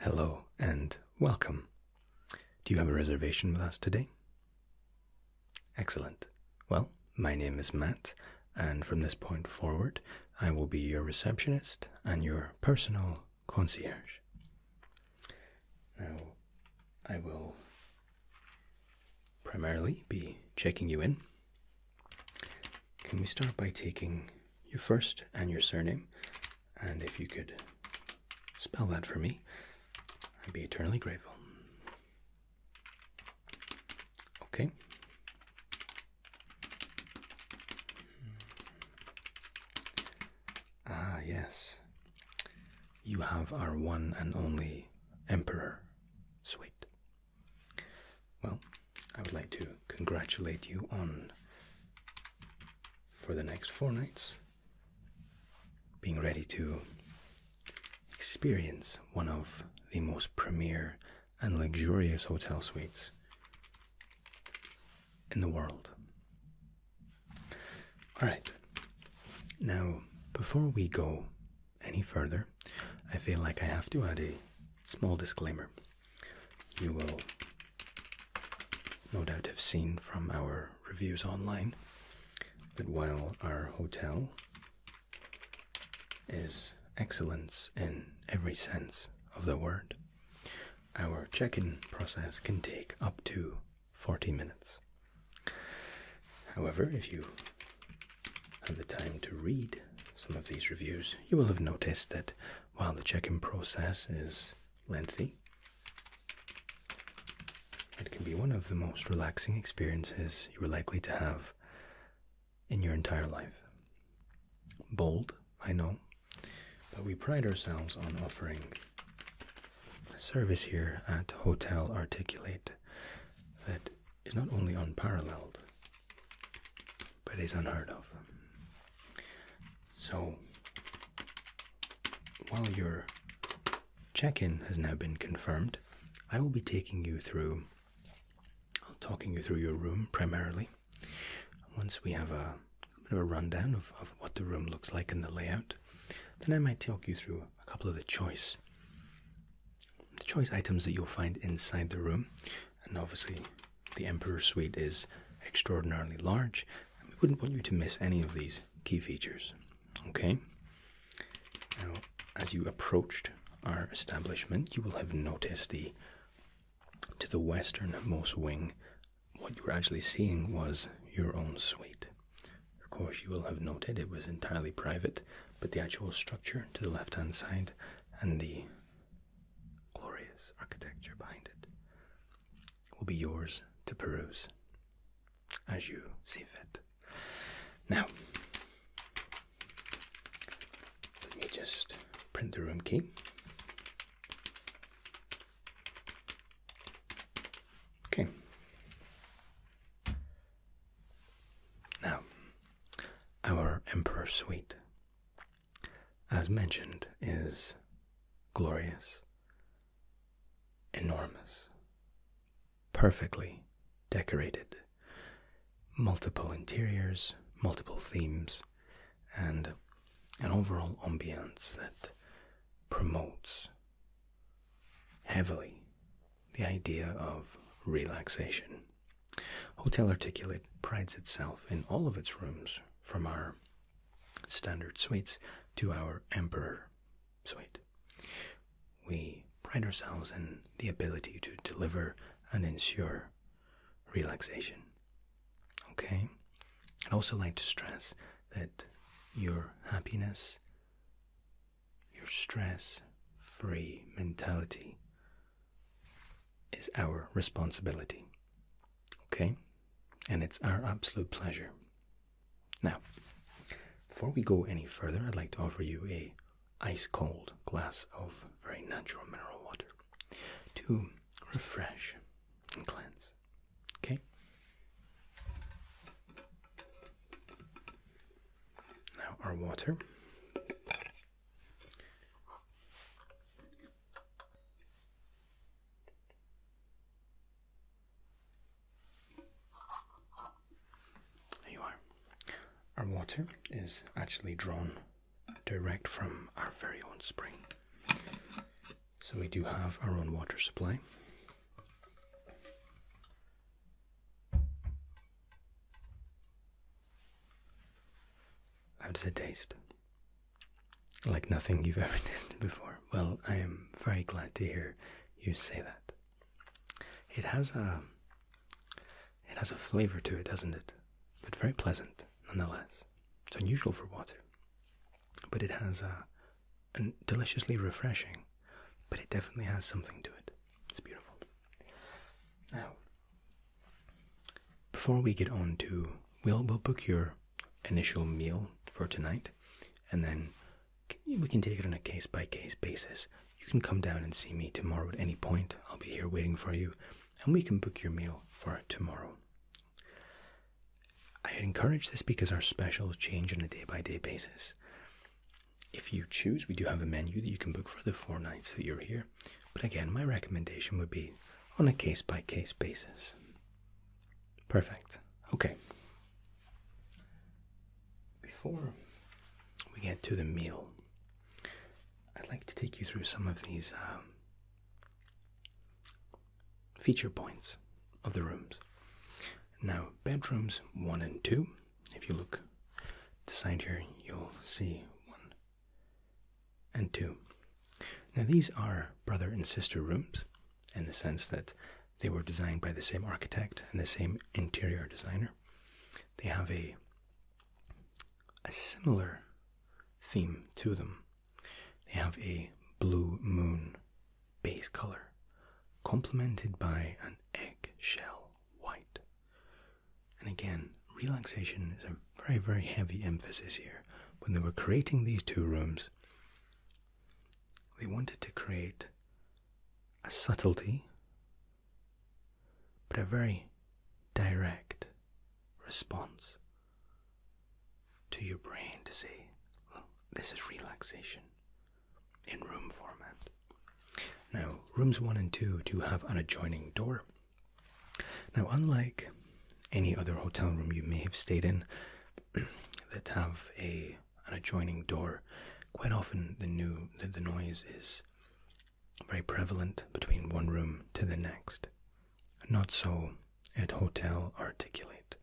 Hello and welcome. Do you have a reservation with us today? Excellent. Well, my name is Matt, and from this point forward, I will be your receptionist and your personal concierge. Now, I will primarily be checking you in can we start by taking your first and your surname? And if you could spell that for me, I'd be eternally grateful. Okay. Ah, yes. You have our one and only Emperor. Sweet. Well, I would like to congratulate you on, for the next four nights, being ready to experience one of the most premier and luxurious hotel suites in the world. Alright, now before we go any further, I feel like I have to add a small disclaimer. You will no doubt have seen from our reviews online that while our hotel is excellence in every sense of the word, our check in process can take up to 40 minutes. However, if you have the time to read some of these reviews, you will have noticed that while the check-in process is lengthy, it can be one of the most relaxing experiences you are likely to have in your entire life. Bold, I know, but we pride ourselves on offering a service here at Hotel Articulate that is not only unparalleled but it's unheard of. So, while your check in has now been confirmed, I will be taking you through, I'll talking you through your room primarily. Once we have a bit of a rundown of, what the room looks like and the layout, then I might talk you through a couple of the choice. The choice items that you'll find inside the room, and obviously the Emperor's Suite is extraordinarily large, and we wouldn't want you to miss any of these key features. Okay? Now, as you approached our establishment, you will have noticed the to the westernmost wing, what you were actually seeing was your own suite. Of course, you will have noted it was entirely private, but the actual structure to the left hand side and the glorious architecture behind it will be yours to peruse as you see fit. Now, let me just print the room key. Okay. Now, our Emperor Suite as mentioned, is glorious, enormous, perfectly decorated, multiple interiors, multiple themes, and an overall ambience that promotes heavily the idea of relaxation Hotel Articulate prides itself in all of its rooms, from our standard suites to our Emperor suite. We pride ourselves in the ability to deliver and ensure relaxation. Okay? I'd also like to stress that your happiness, your stress free mentality, is our responsibility. Okay? And it's our absolute pleasure. Now, before we go any further, I'd like to offer you a ice cold glass of very natural mineral water to refresh and cleanse. Okay? Now, our water there you are. Our water is actually drawn direct from our very own spring. So we do have our own water supply. How does it taste? Like nothing you've ever tasted before. Well, I am very glad to hear you say that. It has a um, it has a flavor to it, doesn't it? But very pleasant nonetheless. It's unusual for water. But it has a, uh, a deliciously refreshing, but it definitely has something to it. It's beautiful. Now, before we get on to we'll we'll book your initial meal for tonight, and then we can take it on a case by case basis. You can come down and see me tomorrow at any point. I'll be here waiting for you, and we can book your meal for tomorrow. I encourage this because our specials change on a day by day basis. If you choose, we do have a menu that you can book for the four nights that you're here. But again, my recommendation would be on a case by case basis. Perfect. Okay. Before we get to the meal, I'd like to take you through some of these um, feature points of the rooms. Now, bedrooms one and two, if you look to side here, you'll see one and 2. Now, these are brother and sister rooms in the sense that they were designed by the same architect and the same interior designer. They have a, a similar theme to them. They have a blue moon base color, complemented by an eggshell white, and again, relaxation is a very, very heavy emphasis here. When they were creating these two rooms, they wanted to create a subtlety, but a very direct response to your brain to say, well, this is relaxation in room format. Now, rooms one and two do have an adjoining door. Now, unlike any other hotel room you may have stayed in that have a an adjoining door, quite often the new the, the noise is very prevalent between one room to the next. Not so at Hotel Articulate.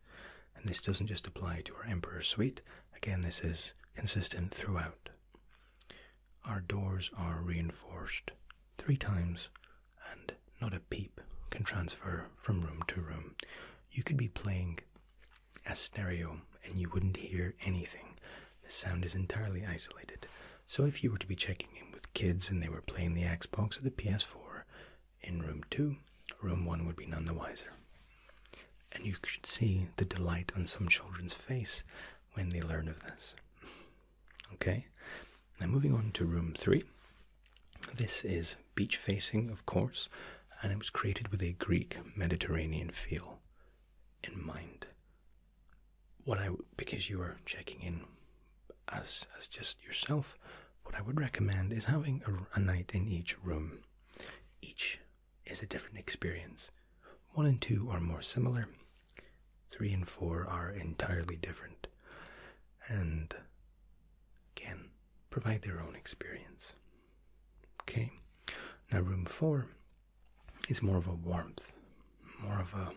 And this doesn't just apply to our Emperor Suite, again, this is consistent throughout. Our doors are reinforced three times, and not a peep can transfer from room to room. You could be playing a stereo and you wouldn't hear anything. The sound is entirely isolated. So, if you were to be checking in with kids and they were playing the Xbox or the PS4 in room 2, room 1 would be none the wiser. And you should see the delight on some children's face when they learn of this. Okay, now moving on to room three. This is beach facing, of course, and it was created with a Greek Mediterranean feel in mind. What I because you are checking in as as just yourself, what I would recommend is having a, a night in each room. Each is a different experience. One and two are more similar, Three and four are entirely different and can provide their own experience. Okay, now room four is more of a warmth, more of a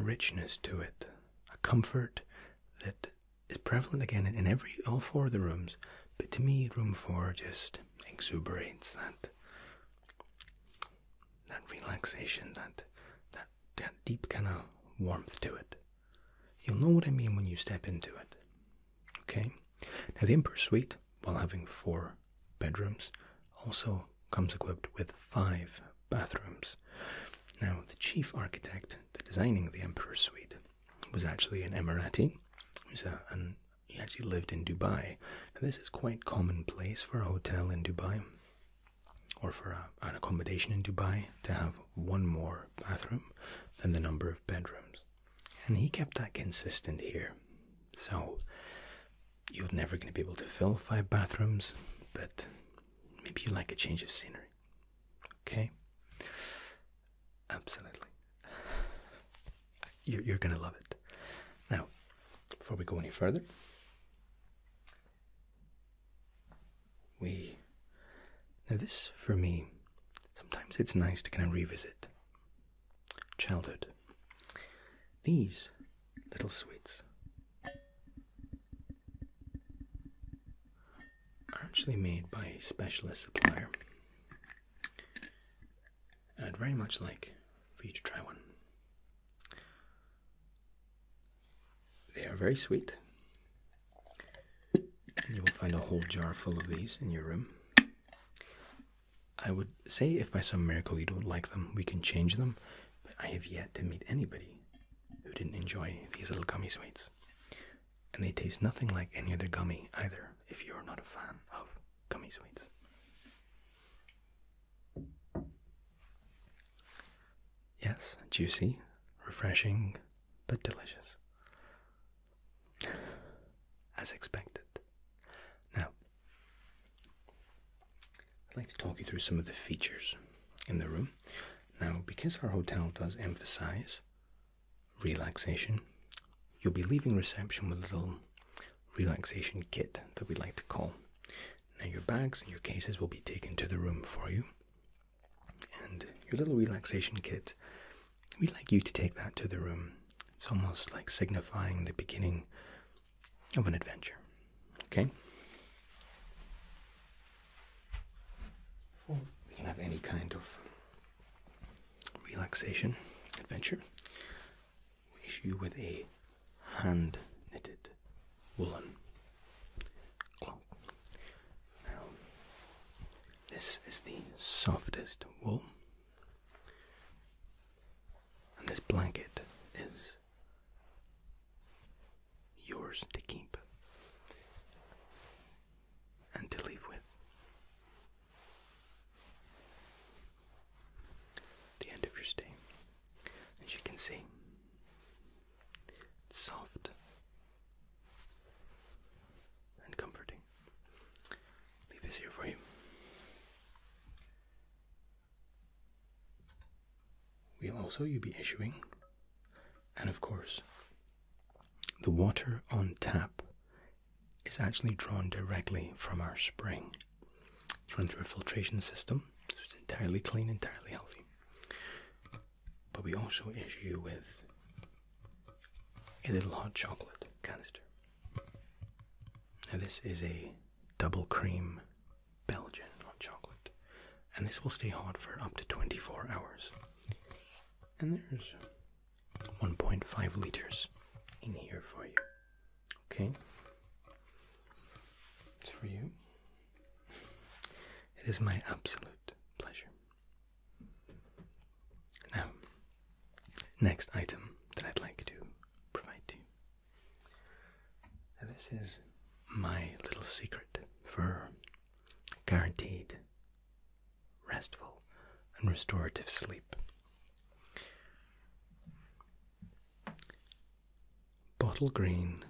richness to it, a comfort that is prevalent again in every all four of the rooms, but to me room four just exuberates that that relaxation, that that that deep kind of warmth to it. You'll know what I mean when you step into it. Okay? Now the Emperor Suite, while having four bedrooms, also comes equipped with five bathrooms. Now the chief architect, the designing the Emperor Suite, was actually an Emirati, who's a, an he actually lived in Dubai. Now, this is quite commonplace for a hotel in Dubai or for an accommodation in Dubai to have one more bathroom than the number of bedrooms. And he kept that consistent here. So, you're never going to be able to fill five bathrooms, but maybe you like a change of scenery. Okay? Absolutely. you're, going to love it. Now, before we go any further, we. Now, this for me, sometimes it's nice to kind of revisit childhood. These little sweets are actually made by a specialist supplier I'd very much like for you to try one. They are very sweet. You will find a whole jar full of these in your room. I would say if by some miracle you don't like them, we can change them, but I have yet to meet anybody who didn't enjoy these little gummy sweets. And they taste nothing like any other gummy either, if you're not a fan of gummy sweets. Yes, juicy, refreshing, but delicious. As expected. Now, I'd like to talk you through some of the features in the room. Now, because our hotel does emphasize relaxation, you'll be leaving reception with a little relaxation kit that we like to call. Now, your bags and your cases will be taken to the room for you, and your little relaxation kit, we'd like you to take that to the room. It's almost like signifying the beginning of an adventure. Okay? we can have any kind of relaxation adventure, issue with a hand knitted woolen cloak. Now, this is the softest wool, and this blanket is yours to keep and to leave with the end of your stay. As you can see, soft and comforting. Leave this here for you. We'll also you be issuing, and of course, the water on tap is actually drawn directly from our spring. It's run through a filtration system, so it's entirely clean, entirely healthy. But we also issue you with a little hot chocolate canister. Now, this is a double cream Belgian hot chocolate, and this will stay hot for up to 24 hours. And there's 1.5 liters in here for you. Okay? It's for you. It is my absolute pleasure. Now, next item that I'd like to provide to you. Now, this is my little secret for guaranteed restful and restorative sleep. Bottle green.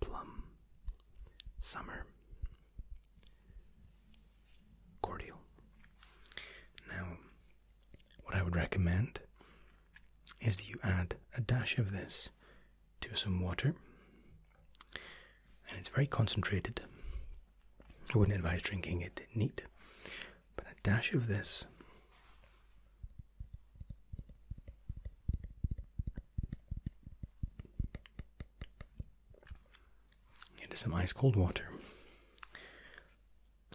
Plum. Summer. Cordial. Now, what I would recommend is that you add a dash of this to some water and it's very concentrated. I wouldn't advise drinking it neat, but a dash of this into some ice cold water.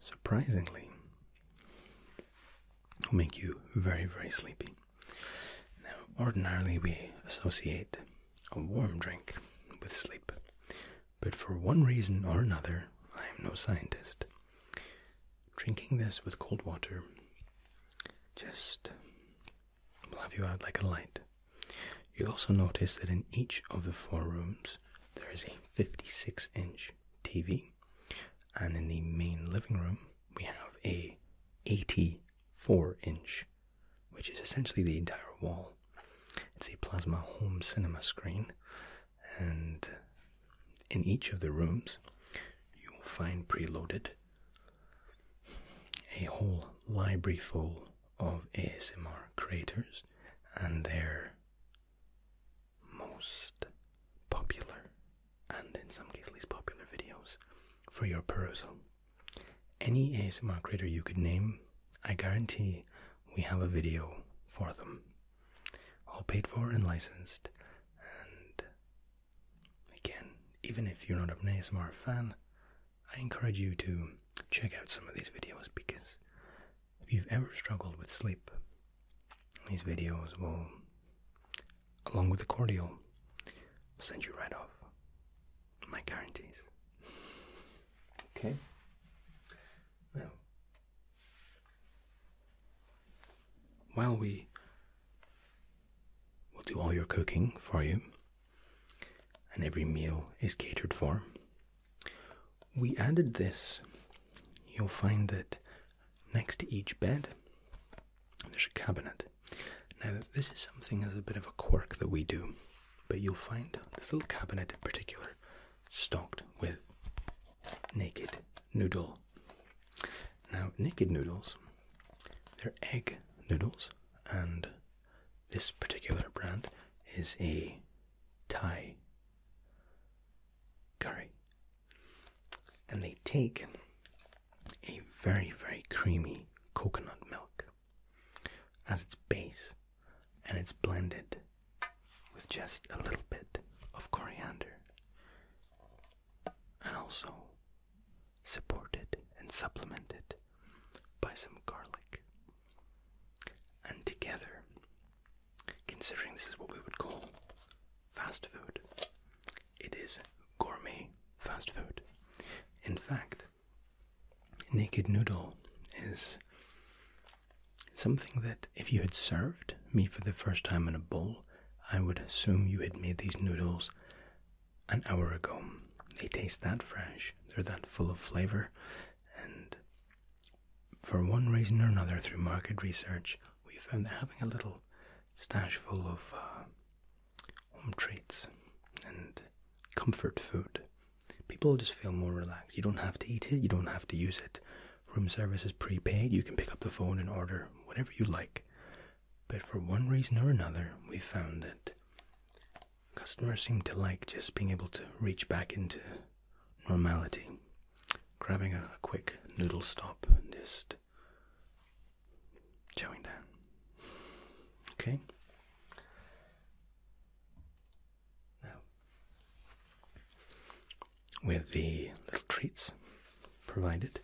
Surprisingly, will make you very, very sleepy. Now, ordinarily, we associate a warm drink with sleep. But for one reason or another, I am no scientist. Drinking this with cold water just will have you out like a light. You'll also notice that in each of the four rooms there is a 56 inch TV, and in the main living room we have a 84 inch which is essentially the entire wall. It's a plasma home cinema screen, and in each of the rooms, you will find preloaded a whole library full of ASMR creators and their most popular and in some cases least popular videos for your perusal. Any ASMR creator you could name, I guarantee we have a video for them. All paid for and licensed. And again, even if you're not an ASMR fan, I encourage you to check out some of these videos because if you've ever struggled with sleep, these videos will, along with the cordial, send you right off my guarantees. okay. Now, while we will do all your cooking for you, and every meal is catered for, we added this. You'll find that next to each bed, there's a cabinet. Now, this is something as a bit of a quirk that we do, but you'll find this little cabinet in particular stocked with naked noodle. Now, naked noodles, they're egg noodles, and this particular brand is a Thai curry. And they take a very, very creamy coconut milk as its base, and it's blended with just a little bit of coriander, and also supported and supplemented by some garlic. And together, considering this is what we would call fast food, it is gourmet fast food. In fact, naked noodle is something that if you had served me for the first time in a bowl, I would assume you had made these noodles an hour ago. They taste that fresh, they're that full of flavor, and for one reason or another, through market research, we found that having a little stash full of uh, home treats and comfort food. People just feel more relaxed. You don't have to eat it, you don't have to use it. Room service is prepaid, you can pick up the phone and order whatever you like. But for one reason or another, we found that customers seem to like just being able to reach back into normality. Grabbing a quick noodle stop and just Chowing down. Okay. Now, with the little treats provided,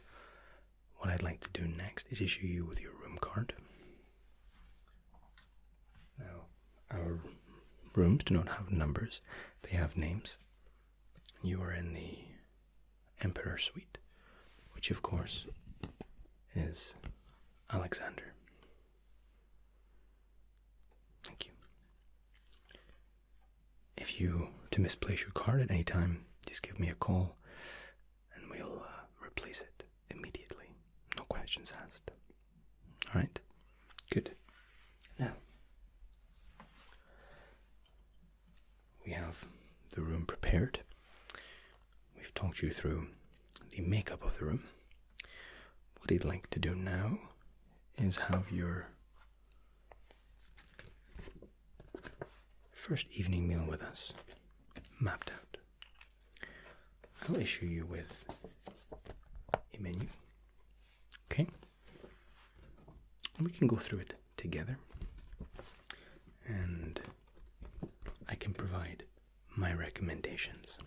what I'd like to do next is issue you with your room card. Now, our rooms do not have numbers, they have names. You are in the Emperor Suite, which of course is Alexander. Thank you. If you to misplace your card at any time, just give me a call and we'll uh, replace it immediately. No questions asked. All right. Good. Now, we have the room prepared. We've talked you through the makeup of the room. What I'd like to do now is have your first evening meal with us mapped out. I'll issue you with a menu. Okay? we can go through it together, and I can provide my recommendations.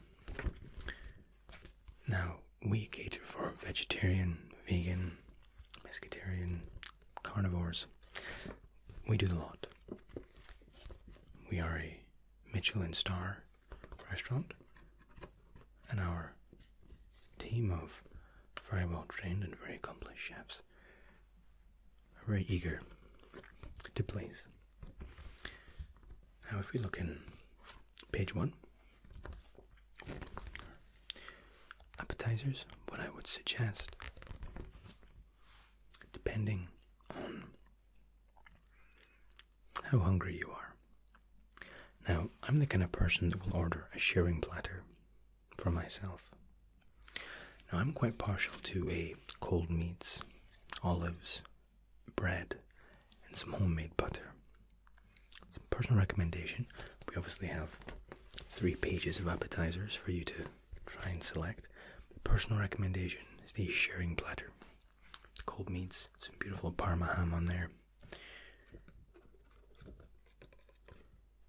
Now, we cater for vegetarian, vegan, pescatarian, carnivores. We do the lot. We are a Michelin star restaurant, and our team of very well trained and very accomplished chefs very eager to please. Now, if we look in page one, appetizers, what I would suggest, depending on how hungry you are. Now, I'm the kind of person that will order a sharing platter for myself. Now, I'm quite partial to a cold meats, olives, bread, and some homemade butter. personal recommendation. We obviously have three pages of appetizers for you to try and select. personal recommendation is the sharing platter. cold meats, some beautiful parma ham on there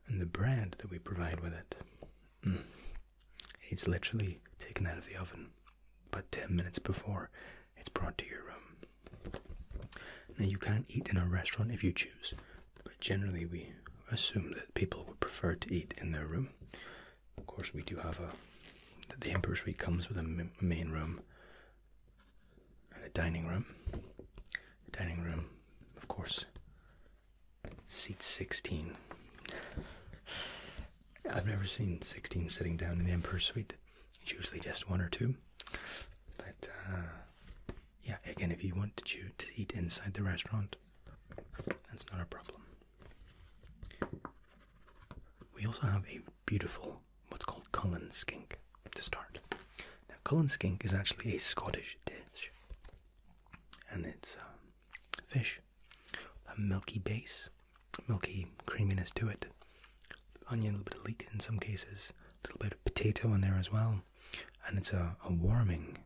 and the bread that we provide with it. Mm. It's literally taken out of the oven, but 10 minutes before it's brought to your room. Now, you can eat in a restaurant if you choose, but generally we assume that people would prefer to eat in their room. Of course, we do have a the Emperor Suite comes with a main room and a dining room. The dining room, of course, Seat 16. I've never seen 16 sitting down in the emperor Suite. It's usually just one or two. But, uh, yeah, again, if you want to, to eat inside the restaurant, that's not a problem. We also have a beautiful, what's called Cullen skink to start. Now, Cullen skink is actually a Scottish dish and it's um, fish, a milky base, milky creaminess to it, onion, a little bit of leek in some cases, a little bit of potato in there as well, and it's a, warming,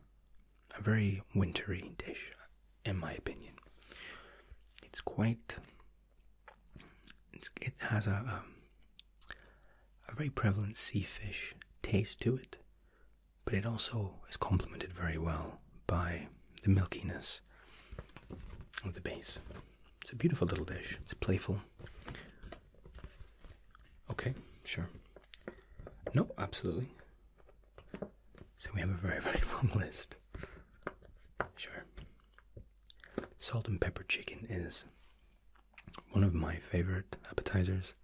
a very wintry dish, in my opinion. It's quite. it has a um, a very prevalent sea fish taste to it, but it also is complemented very well by the milkiness of the base. It's a beautiful little dish. It's playful. Okay, sure. No, absolutely. So we have a very, very long list. Sure. Salt and pepper chicken is one of my favorite appetizers.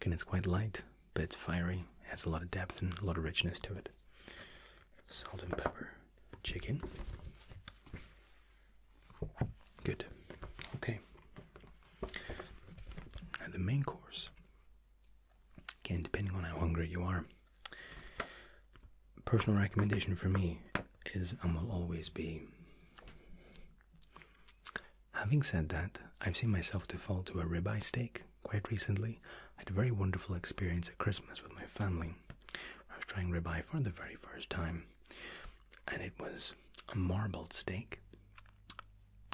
Again, it's quite light, but it's fiery, has a lot of depth and a lot of richness to it. Salt and pepper, chicken. Good. Okay. And the main course. Again, depending on how hungry you are, personal recommendation for me is and will always be Having said that, I've seen myself default to a ribeye steak quite recently. I had a very wonderful experience at Christmas with my family. I was trying ribeye for the very first time, and it was a marbled steak.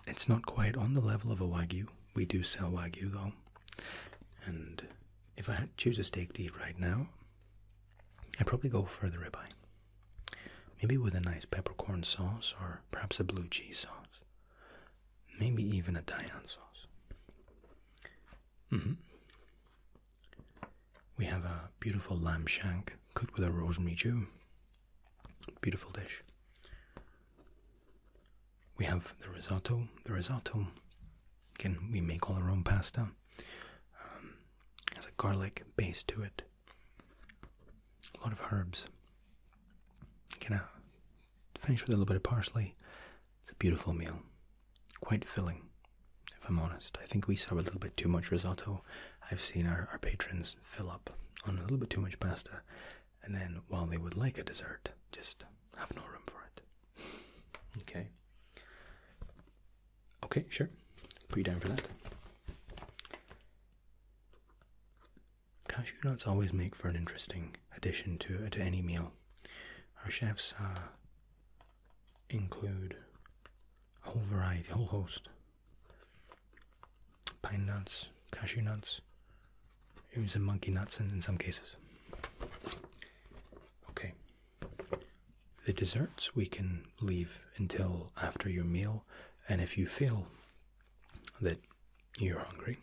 It's not quite on the level of a wagyu. We do sell wagyu though. And if I had to choose a steak to eat right now, I'd probably go for the ribeye. Maybe with a nice peppercorn sauce or perhaps a blue cheese sauce. Maybe even a Dijon sauce. Mm-hmm. We have a beautiful lamb shank cooked with a rosemary dew. Beautiful dish. We have the risotto. The risotto, again, we make all our own pasta. Um, has a garlic base to it a lot of herbs. you to finish with a little bit of parsley. It's a beautiful meal, quite filling. If I'm honest, I think we serve a little bit too much risotto. I've seen our patrons fill up on a little bit too much pasta, and then while they would like a dessert, just have no room for it. okay. Okay, sure. Put you down for that. Cashew nuts always make for an interesting addition to uh, to any meal. Our chefs uh, include a whole variety, a whole host: pine nuts, cashew nuts, even some monkey nuts in, in some cases. Okay. The desserts we can leave until after your meal, and if you feel that you're hungry.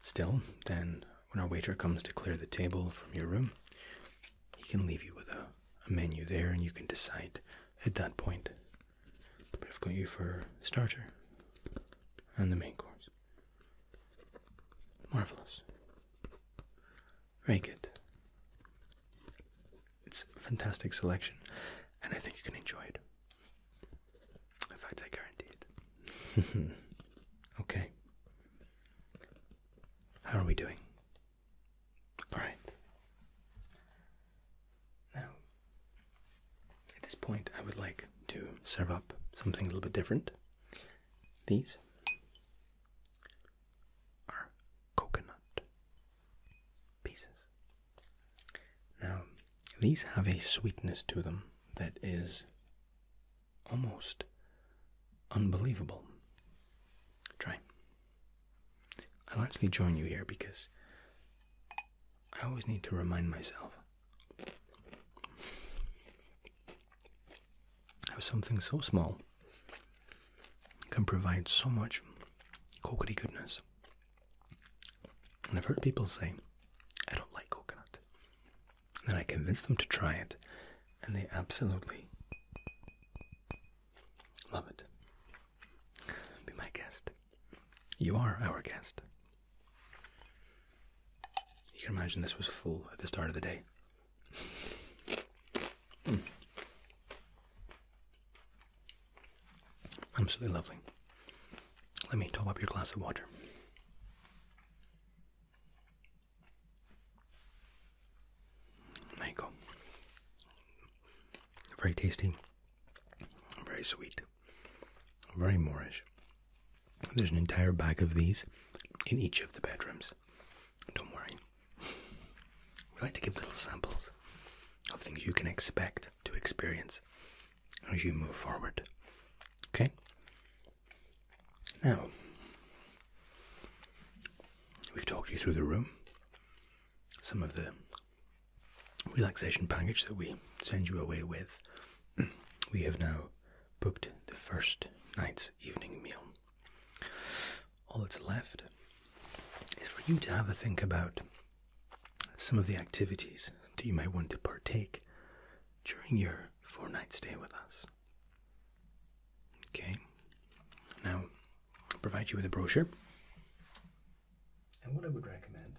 Still, then when our waiter comes to clear the table from your room, he can leave you with a, menu there and you can decide at that point. But I've got you for starter and the main course. Marvelous. Very good it's a fantastic selection, and I think you can enjoy it. In fact, I guarantee it. okay. How are we doing? Alright. Now, at this point, I would like to serve up something a little bit different. These are coconut pieces. Now, these have a sweetness to them that is almost unbelievable. Try. I'll actually join you here because I always need to remind myself how something so small can provide so much coconut goodness. And I've heard people say, I don't like coconut. And then I convince them to try it, and they absolutely love it. Be my guest. You are our guest. You can imagine this was full at the start of the day. Hmm. Absolutely lovely. Let me top up your glass of water. There you go. Very tasty, very sweet, very Moorish. There's an entire bag of these in each of the bedrooms. Don't worry. We like to give little samples of things you can expect to experience as you move forward. Okay? Now, we've talked you through the room, some of the relaxation package that we send you away with. we have now booked the first night's evening meal. All that's left is for you to have a think about some of the activities that you might want to partake during your four night stay with us. Okay, now I'll provide you with a brochure. And what I would recommend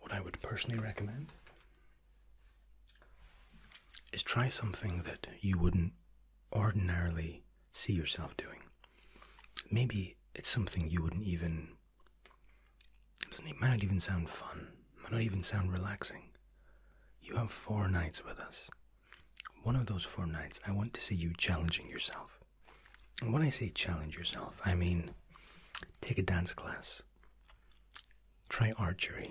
what I would personally recommend is try something that you wouldn't ordinarily see yourself doing. Maybe it's something you wouldn't even. It might not even sound fun, might not even sound relaxing. You have four nights with us. One of those four nights, I want to see you challenging yourself. And when I say challenge yourself, I mean take a dance class, try archery,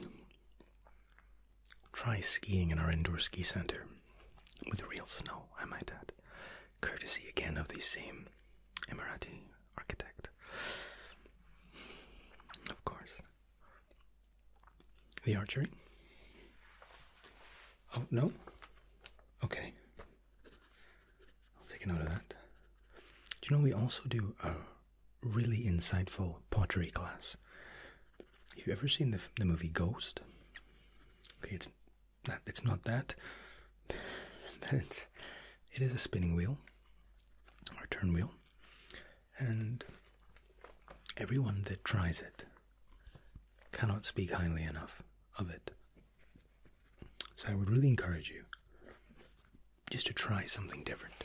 Try skiing in our indoor ski center with real snow, I might add. Courtesy again of the same Emirati architect. Of course. The archery? Oh, no? Okay. I'll take a note of that. Do you know we also do a uh, really insightful pottery class. Have you ever seen the, the movie Ghost? Okay, it's not, it's not that. it's, it is a spinning wheel or turn wheel, and everyone that tries it cannot speak highly enough of it. So I would really encourage you just to try something different.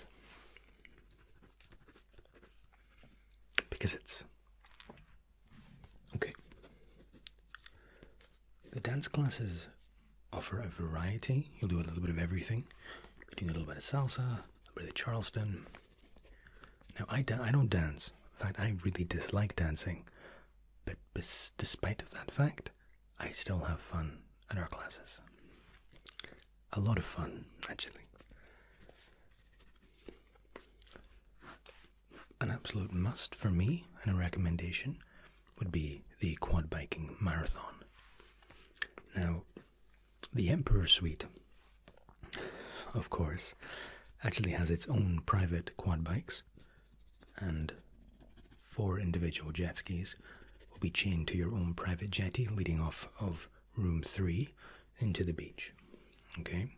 Because it's okay. The dance classes offer a variety. You'll do a little bit of everything. You're doing a little bit of salsa, a little bit of Charleston. Now, I, I don't dance. In fact, I really dislike dancing. But despite that fact, I still have fun at our classes. A lot of fun, actually. An absolute must for me and a recommendation would be the quad biking marathon. Now, the Emperor Suite, of course, actually has its own private quad bikes, and Four individual jet skis will be chained to your own private jetty leading off of room three into the beach. Okay?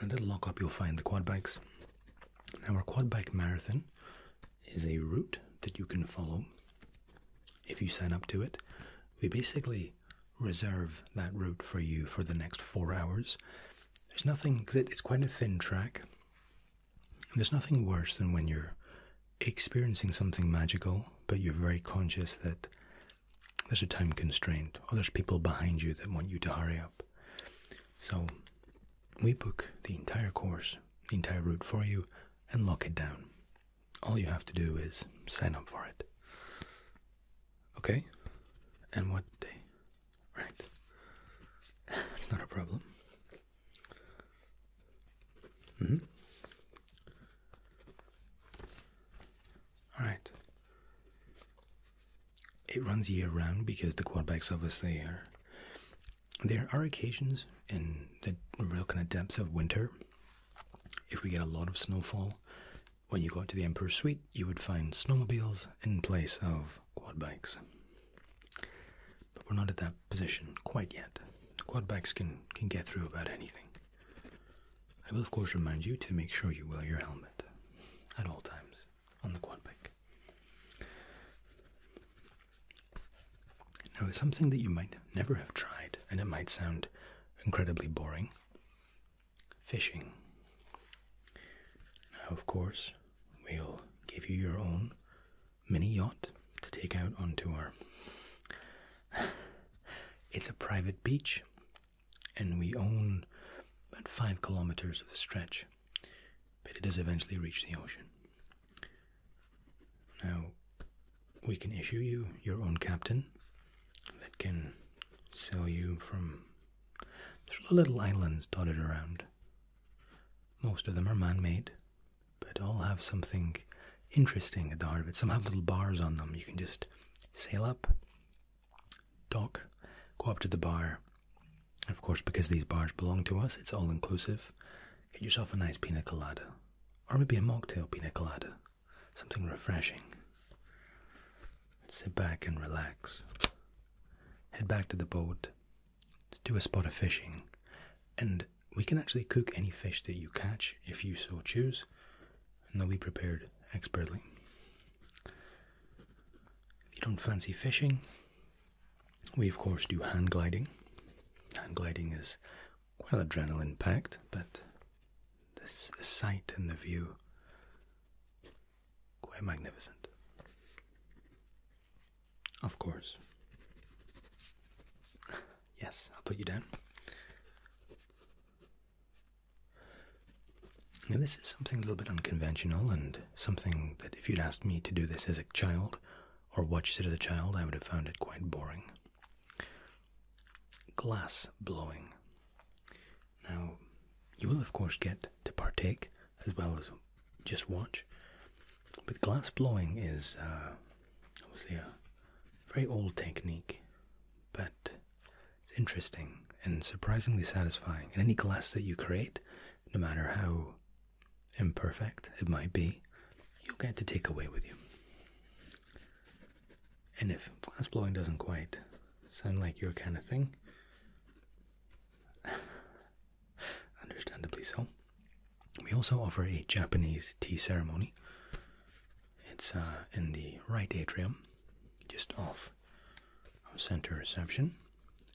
And at the lockup, you'll find the quad bikes. Now, our quad bike marathon is a route that you can follow if you sign up to it. We basically reserve that route for you for the next four hours. There's nothing, it's quite a thin track. There's nothing worse than when you're experiencing something magical, but you're very conscious that there's a time constraint or there's people behind you that want you to hurry up. So we book the entire course, the entire route for you, and lock it down. All you have to do is sign up for it. Okay? And what day? Right. That's not a problem. -hmm. All right. It runs year round because the quarterbacks obviously are. There are occasions in the real kind of depths of winter, if we get a lot of snowfall, when you go out to the Emperor's Suite, you would find snowmobiles in place of quad bikes. But we're not at that position quite yet. quad bikes can, can get through about anything. I will, of course, remind you to make sure you wear your helmet at all times on the quad bike. Now, something that you might never have tried, and it might sound incredibly boring fishing. Now, of course, we'll give you your own mini yacht to take out on tour. it's a private beach, and we own about five kilometers of the stretch, but it does eventually reach the ocean. Now, we can issue you your own captain that can sail you from the little islands dotted around. Most of them are man made, but all have something interesting at the heart of it. Some have little bars on them. You can just sail up, dock, go up to the bar. of course, because these bars belong to us, it's all inclusive. Get yourself a nice pina colada, or maybe a mocktail pina colada, something refreshing. Sit back and relax. Head back to the boat, to do a spot of fishing, and we can actually cook any fish that you catch if you so choose, and they'll be prepared expertly. If you don't fancy fishing, we of course do hand gliding. Hand gliding is quite adrenaline packed, but the sight and the view quite magnificent. Of course. Yes, I'll put you down. Now, this is something a little bit unconventional, and something that if you'd asked me to do this as a child or watched it as a child, I would have found it quite boring. Glass blowing. Now, you will, of course, get to partake as well as just watch. But glass blowing is uh, obviously a very old technique, but it's interesting and surprisingly satisfying. And any glass that you create, no matter how imperfect it might be, you'll get to take away with you. And if glass blowing doesn't quite sound like your kind of thing, Understandably so. We also offer a Japanese tea ceremony. It's uh, in the right atrium, just off our center reception.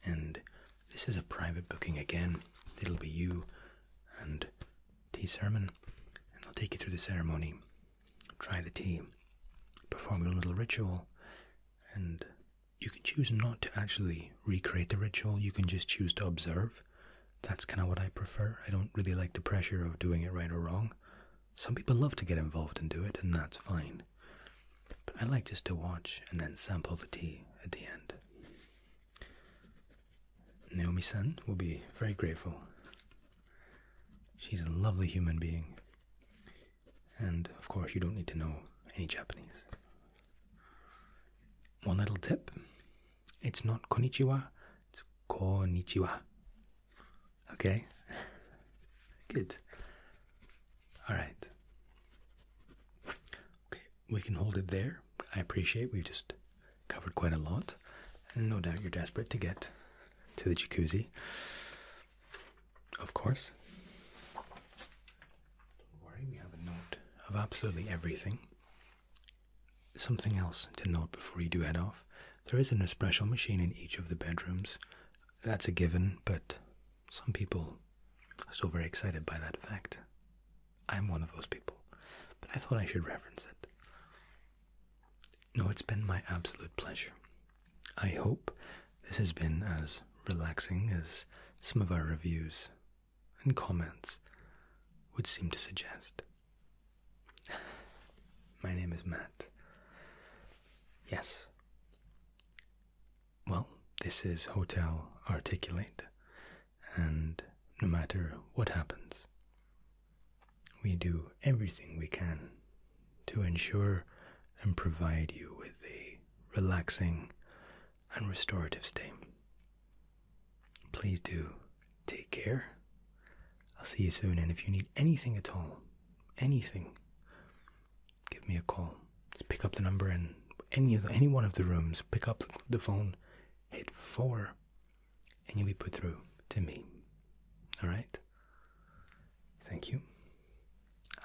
And this is a private booking again. It'll be you and tea sermon, and I'll take you through the ceremony. Try the tea, perform your little ritual, and you can choose not to actually recreate the ritual, you can just choose to observe. That's kind of what I prefer. I don't really like the pressure of doing it right or wrong. Some people love to get involved and do it, and that's fine. But I like just to watch and then sample the tea at the end. Naomi san will be very grateful. She's a lovely human being. And of course, you don't need to know any Japanese. One little tip it's not konichiwa; it's konichiwa. Okay? Good. Alright. Okay, we can hold it there. I appreciate we just covered quite a lot. And no doubt you're desperate to get to the jacuzzi. Of course. Don't worry, we have a note of absolutely everything. Something else to note before you do head off there is an espresso machine in each of the bedrooms. That's a given, but some people are still very excited by that fact. I'm one of those people, but I thought I should reference it. No, it's been my absolute pleasure. I hope this has been as relaxing as some of our reviews and comments would seem to suggest. My name is Matt. Yes. Well, this is Hotel Articulate, and no matter what happens, we do everything we can to ensure and provide you with a relaxing and restorative stay. Please do take care. I'll see you soon, and if you need anything at all, anything, give me a call. Just pick up the number in any of any one of the rooms. Pick up the phone, hit four, and you'll be put through to me. All right. Thank you.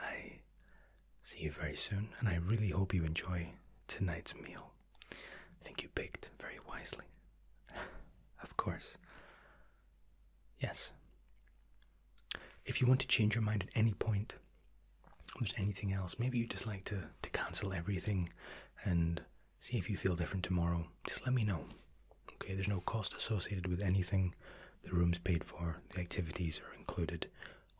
I see you very soon, and I really hope you enjoy tonight's meal. I think you picked very wisely. of course. Yes. If you want to change your mind at any point, or there's anything else, maybe you just like to, to cancel everything and see if you feel different tomorrow, just let me know. Okay, there's no cost associated with anything. The room's paid for, the activities are included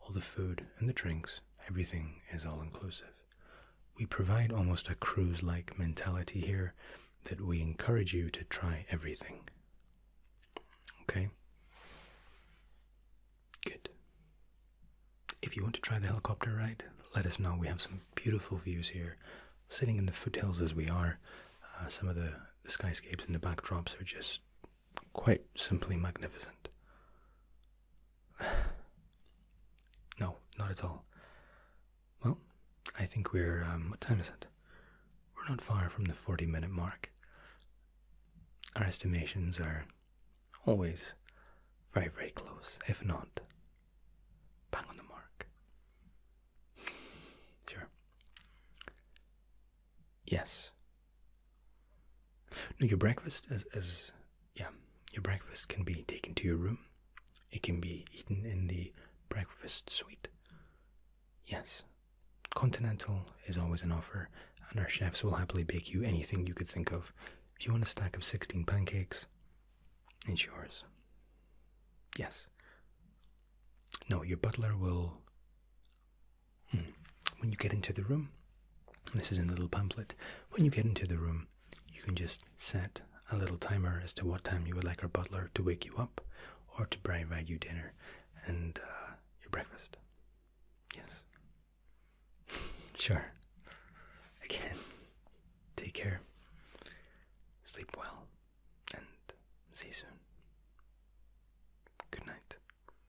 all the food and the drinks, everything is all inclusive. We provide almost a cruise like mentality here that we encourage you to try everything. Okay? Good. If you want to try the helicopter ride, let us know. We have some beautiful views here. Sitting in the foothills as we are, uh, some of the, the skyscapes and the backdrops are just quite simply magnificent. no, not at all. Well, I think we're. Um, what time is it? We're not far from the 40 minute mark. Our estimations are always very, very close, if not bang on the mark. Sure. Yes. No, your breakfast as yeah, your breakfast can be taken to your room. It can be eaten in the breakfast suite. Yes. Continental is always an offer, and our chefs will happily bake you anything you could think of. If you want a stack of 16 pancakes, it's yours. Yes. No, your butler will Hmm. When you get into the room, this is in the little pamphlet, when you get into the room, you can just set a little timer as to what time you would like our butler to wake you up or to provide you dinner and uh, your breakfast. Yes. sure. Again, take care, sleep well, and see you soon. Good night.